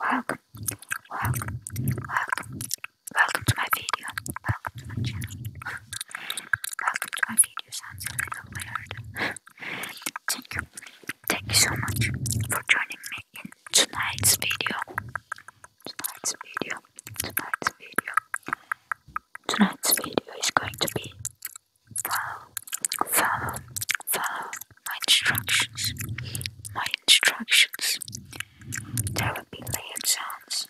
Welcome, welcome, welcome, welcome to my video, welcome to my channel. welcome to my video sounds a little weird. thank you, thank you so much for joining me in tonight's video. Tonight's video, tonight's video, tonight's video is going to be Follow, follow, follow my instructions. My instructions. There will be layered sounds.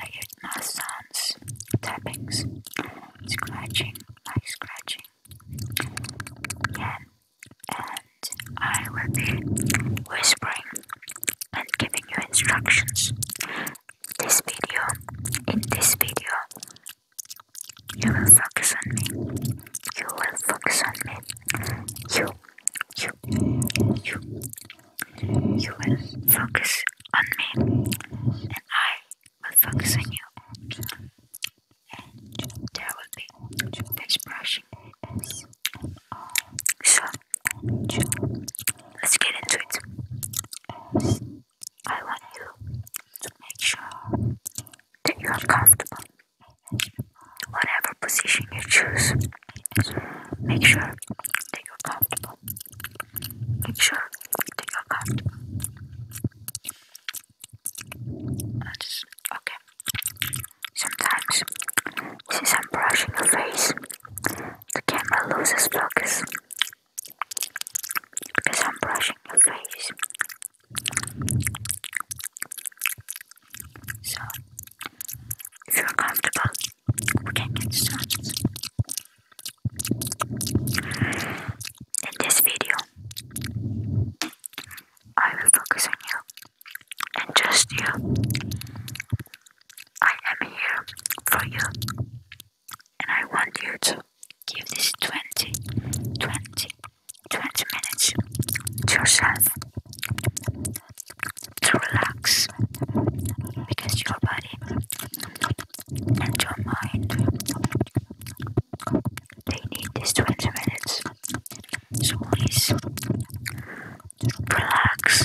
layered mouth sounds, tappings, scratching, like scratching. Yeah. And I will be whispering and giving you instructions this video, in this video, you will focus on me. You will focus on me. You, you, you, you will focus on me, and I will focus on you. And there will be face brushing. So let's get into it. I want you to make sure that you are comfortable. Whatever position you choose, make sure that you're comfortable. Make sure that you're comfortable. okay. Sometimes, since I'm brushing your face, the camera loses focus because I'm brushing your face. So, if you're comfortable, we can get started. In this video, I will focus on you and just you. I am here for you, and I want you to give this 20, 20, 20 minutes to yourself to relax because your body and your mind they need this 20 minutes so please relax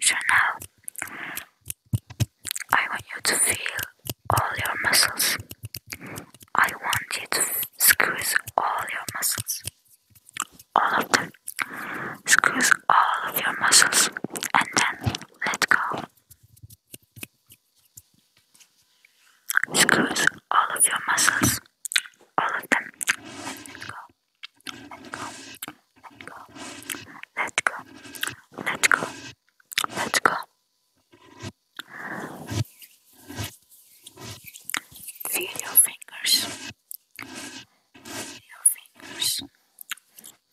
so I want you to feel all your muscles. I want you to squeeze all your muscles. All of them. Squeeze all of your muscles and then let go. Squeeze all of your muscles. All of them. Let go. Let's go. Let's go. Let's go. Feel your fingers. Feel your fingers.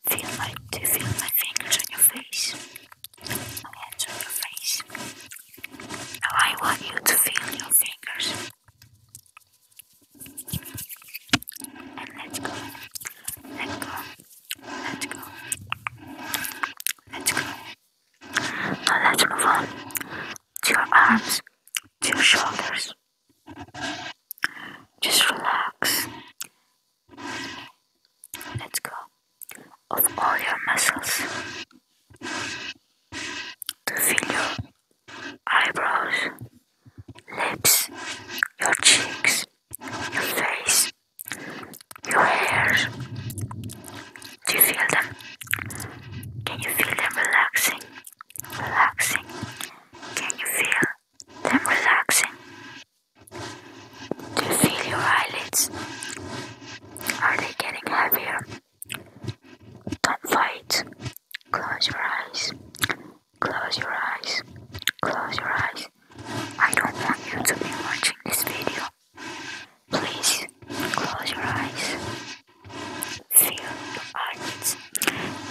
Feel my do you feel my fingers on your face? My hands on your face. Now I want you to feel your fingers. And let's go. Let's go. Let's go. Let's go. Now let's move on to your arms, to your shoulders. Just relax. Let's go. Of all your muscles to feel your eyebrows, lips, your cheeks, your face, your hair. Do you feel them? Can you feel them relaxing? Relaxing. Can you feel them relaxing? Do you feel your eyelids? Are they getting heavier? Don't fight. Close your eyes. Close your eyes. Close your eyes. I don't want you to be watching this video. Please close your eyes. Feel your eyelids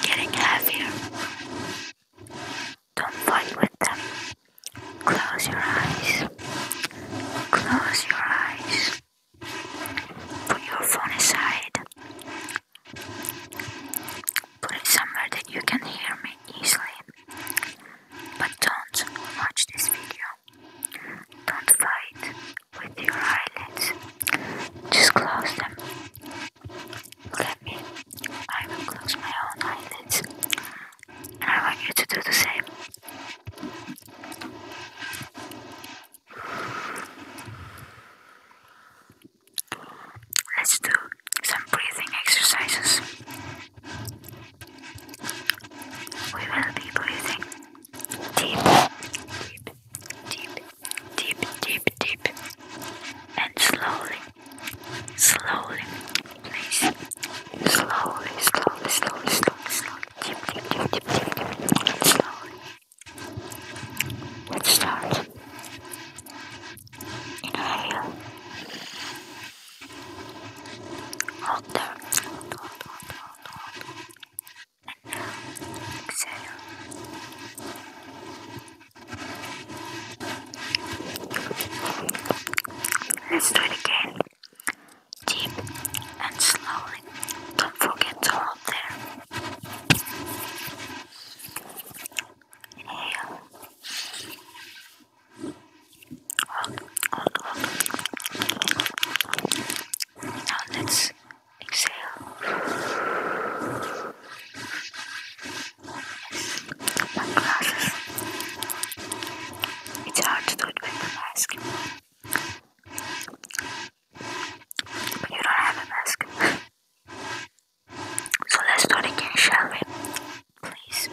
getting heavier. Don't fight with them. Close your eyes. Close your eyes. Put your phone aside. Put it somewhere that you can hear me easily. But don't watch this video. Don't fight with your eyelids. Just close them. Let me. I will close my own eyelids. I want you to do the same. Let's do some breathing exercises. We will be breathing deep, deep, deep, deep, deep, deep, and slowly, slowly, please. Slowly, slowly, slowly, slowly, slowly, deep, deep, slowly which starts in an hold there hold, hold, hold, hold. exhale let's do it again deep and slowly don't forget to hold there Inhale. Hold, hold, hold. Now let's exhale. Yes. My glasses. It's hard to do it with the mask. You don't have a mask. So let's start again, shall we? Please.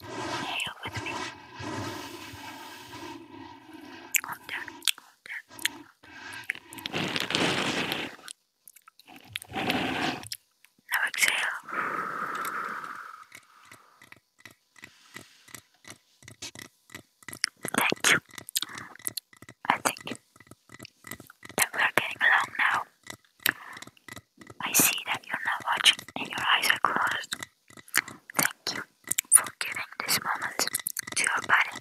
Inhale with me. Calm down, calm down. Now exhale. Thank you. I think that we are getting along now. I see that you're not watching and your eyes are closed. Thank you for giving this moment to your body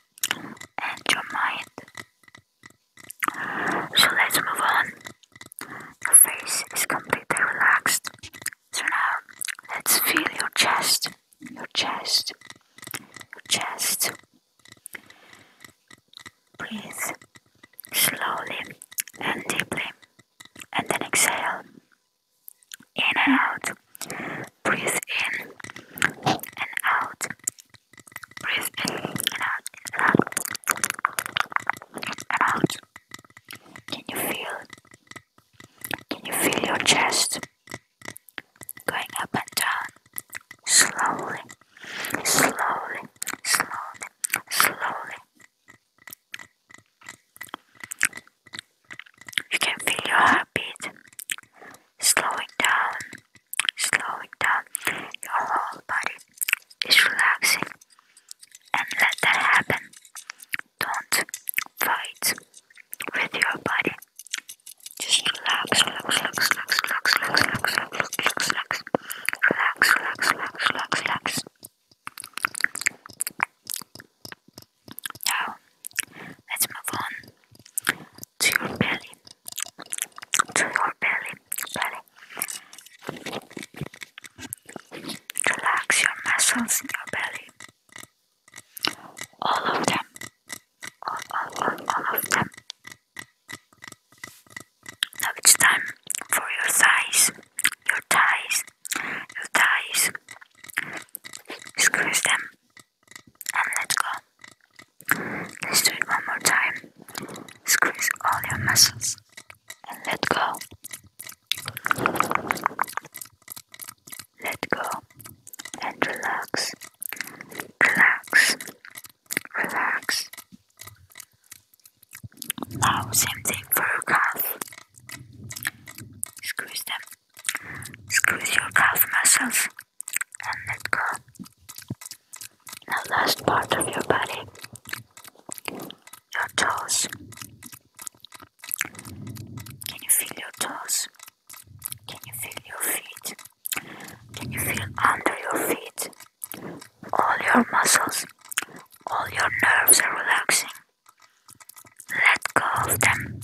and your mind. So let's move on. Your face is completely relaxed. So now let's feel your chest, your chest, your chest. Breathe slowly and deeply, and then exhale. In and out. Breathe in and out. Breathe in and out. and out. In and out. Can you feel can you feel your chest going up and down slowly, slowly, slowly, slowly? You can feel your heartbeat slowing down, slowing down. Your whole body is relaxing, and let that happen. Don't fight with your body. Just relax, relax, relax, relax, relax, relax, relax, relax, relax, relax, relax, relax, relax, relax, relax. Now, let's move on to your belly, to your belly, belly. Relax your muscles in your belly. All of them. All, all, all, of them. Now it's time for your size, your ties, your ties. Squeeze them and let go. Let's do it one more time. Squeeze all your muscles and let go let go and relax, relax, relax. Now, same thing for your calf. Squeeze them, squeeze your calf muscles and let go. Now, last part of your body, your toes. Can you feel your toes? Can you feel your feet? Can you feel under your feet? All your muscles, all your nerves are relaxing. Let go of them.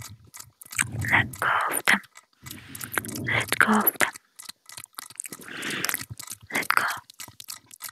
Let go of them. Let go of them. Let go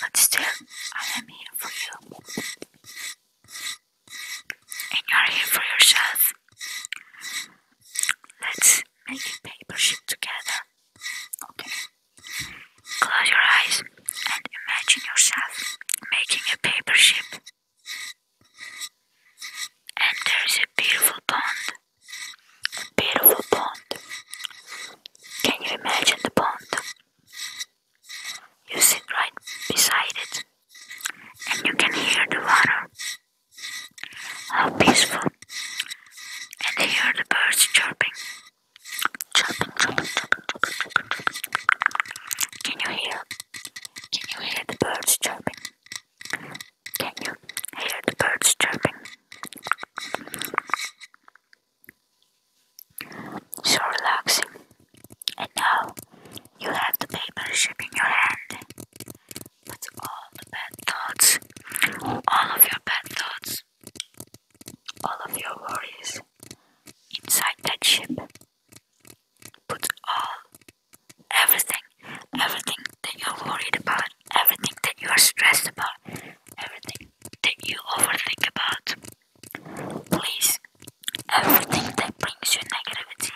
But still, I am here for you. And you are here for yourself. Let's make a paper ship together. Okay. Close your eyes and imagine yourself making a paper ship. And there is a beautiful pond. A beautiful pond can you imagine the pond? You sit right beside it, and you can hear the water. How peaceful! And they hear the birds chirping. Chirping, chirping, chirping, chirping, chirping, chirping. Can you hear? Can you hear the birds chirping? Can you hear the birds chirping? So relaxing. And now you have the paper ship in your hand. With all the bad thoughts, all of your bad thoughts, all of your worries inside that ship. Put all, everything, everything that you're worried about everything that you are stressed about, everything that you overthink about. Please, everything that brings you negativity.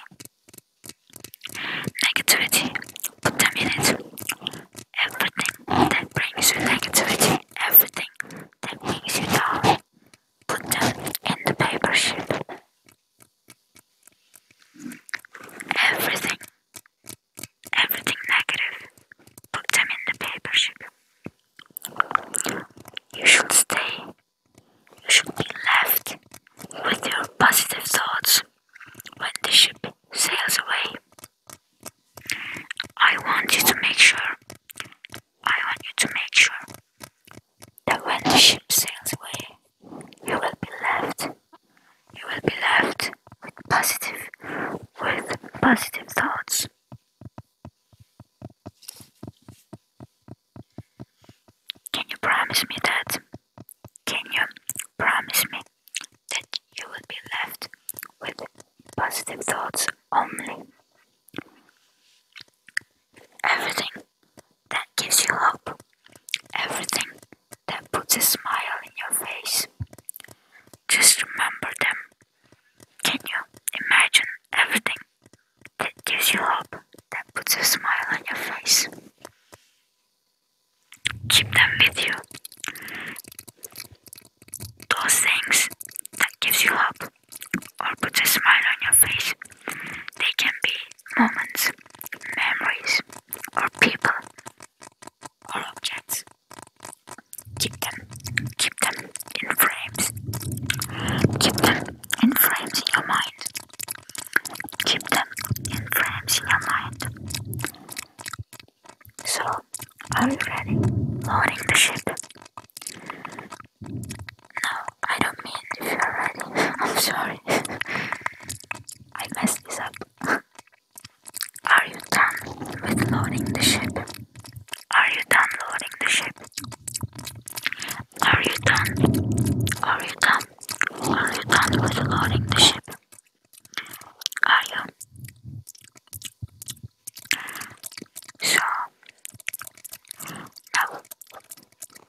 Negativity, put them in it. Everything that brings you negativity, everything that brings you down, put them in the paper sheet. Everything everything negative. Put them in the paper sugar. You should stay. You should be left with your positive thoughts when the ship sails away. I want you to make sure. I want you to make sure that when the ship sails away, you will be left you will be left with positive with positive thoughts. Can you promise me that? Can you promise me that you will be left with positive thoughts only? Everything that gives you hope, everything that puts a smile in your face. Just remember them. Can you imagine everything that gives you hope, that puts a smile on your face? Keep them with you. Those things that gives you hope or puts a smile on your face. They can be moments, memories, or people or objects. Keep them, keep them in frames. Keep them in frames in your mind. Keep them in frames in your mind. So, are you ready? Loading the ship. No, I don't mean if you're ready. I'm sorry. I messed this up. Are you done with loading the ship? Are you done loading the ship? Are you done? Are you done? Are you done with loading the ship? Are you? So now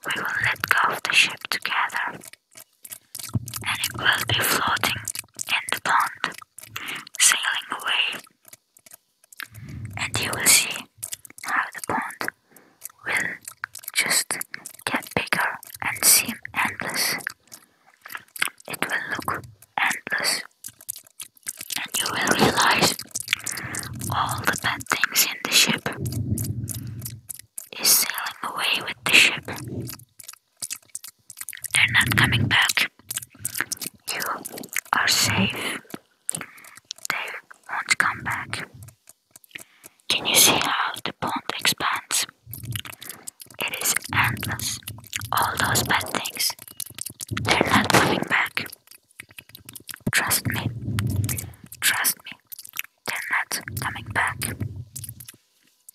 we will let go of the ship together and it will be floating in the pond, sailing away. And you will see how the pond will just get bigger and seem endless. It will look endless, and you will realize all the bad things in the ship is sailing away with the ship. They're not coming back. You are safe. They won't come back. Can you see how the pond expands? It is endless. All those bad things. They're not coming back. Trust me. Trust me. They're not coming back.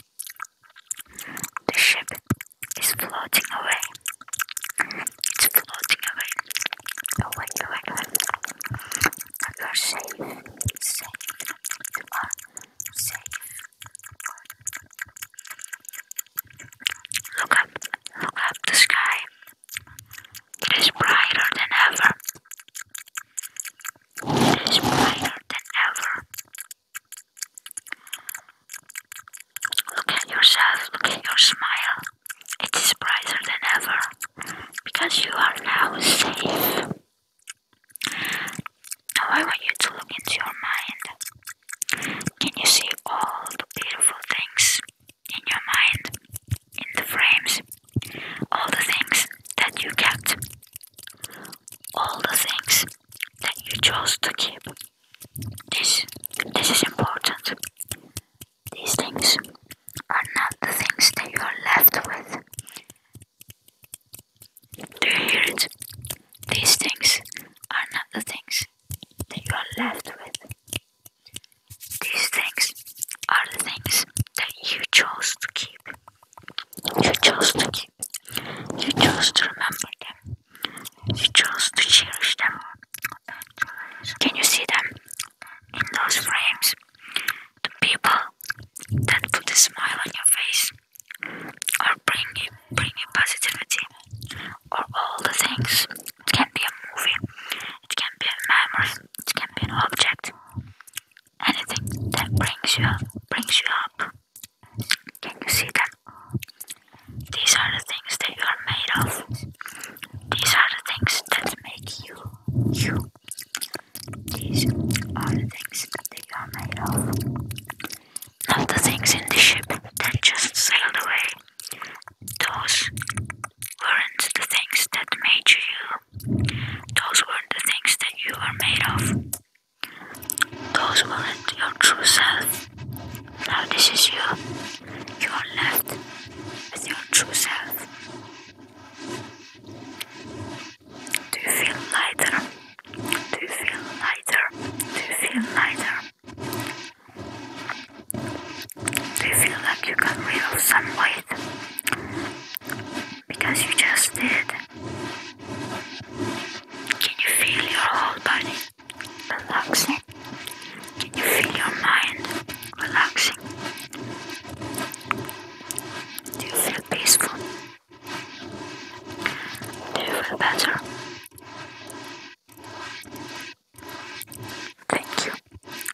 The ship is floating away. It's floating away. Away, away, away. You are safe. Safe. safe. Look up. Look up the sky. It is brighter than ever. It is brighter than ever. Look at yourself, look at your smile. It is brighter than ever because you are now safe. Now, I want you to look into your mind. Can you see all the beautiful things in your mind, in the frames? all the things that you kept, all the things that you chose to keep. This, this is important. These things are not the things that you are left with. Do you hear it? These things are not the things that you are left with. These things are the things that you chose to keep. You chose to keep. You chose to remember them. You chose to cherish them. Can you see them in those frames? The people that put a smile on your face, or bring you bring you positivity, or all the things. It can be a movie. It can be a memory. It can be an object anything that brings you brings you up. Can you see that? These are the things that you are made of. These are the things that make you you. These are the things that you are made of. Not the things in the ship that just sailed away. Those weren't the things that made you you. Those weren't the things that you were made of. Those weren't your true self. Now this is you. You are left with your true self. Do you feel lighter? Do you feel lighter? Do you feel lighter? Do you feel like you got rid of some weight? because you just did. Can you feel your whole body relaxing? Can you feel your mind relaxing? Do you feel peaceful? Do you feel better? Thank you.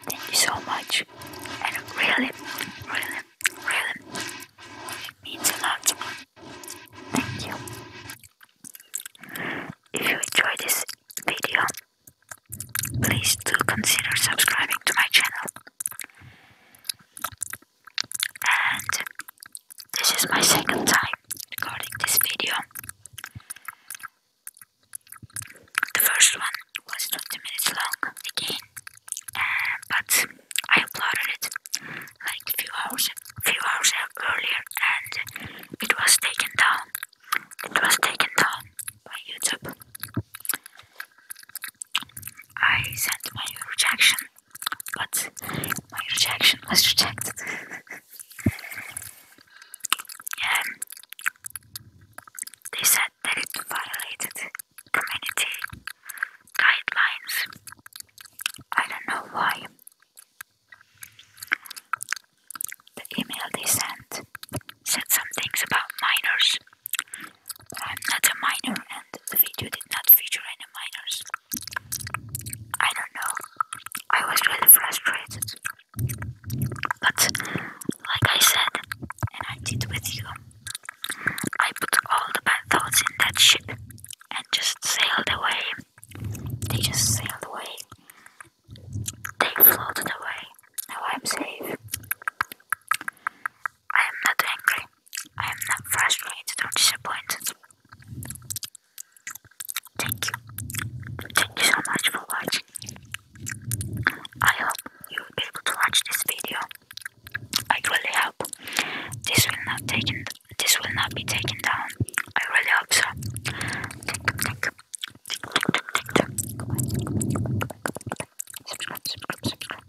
Thank you so much. And really, really, really, means a lot. Thank you. If you enjoyed this video, please do consider subscribing to my channel. And this is my second time recording this video. The first one was 20 minutes long again, uh, but I uploaded it like few hours, few hours earlier, and it was taken down. It was taken down by YouTube. I sent my rejection, but my rejection was rejected. yeah, they said that it violated community guidelines. I don't know why. The email they sent said some things about minors. I'm not a minor, and the video did not feature any minors. I don't know. I was really frustrated. But like I said, and I did with you, I put all the bad thoughts in that ship and just sailed away. They just sailed away. They floated away. Now I'm safe. I am not angry. I am not frustrated or disappointed. Thank you. Thank you so much for watching. I hope you will be able to watch this video. I really hope this will not taken this will not be taken down. I really hope so.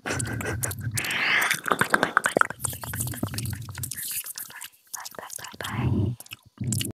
Bye bye bye bye.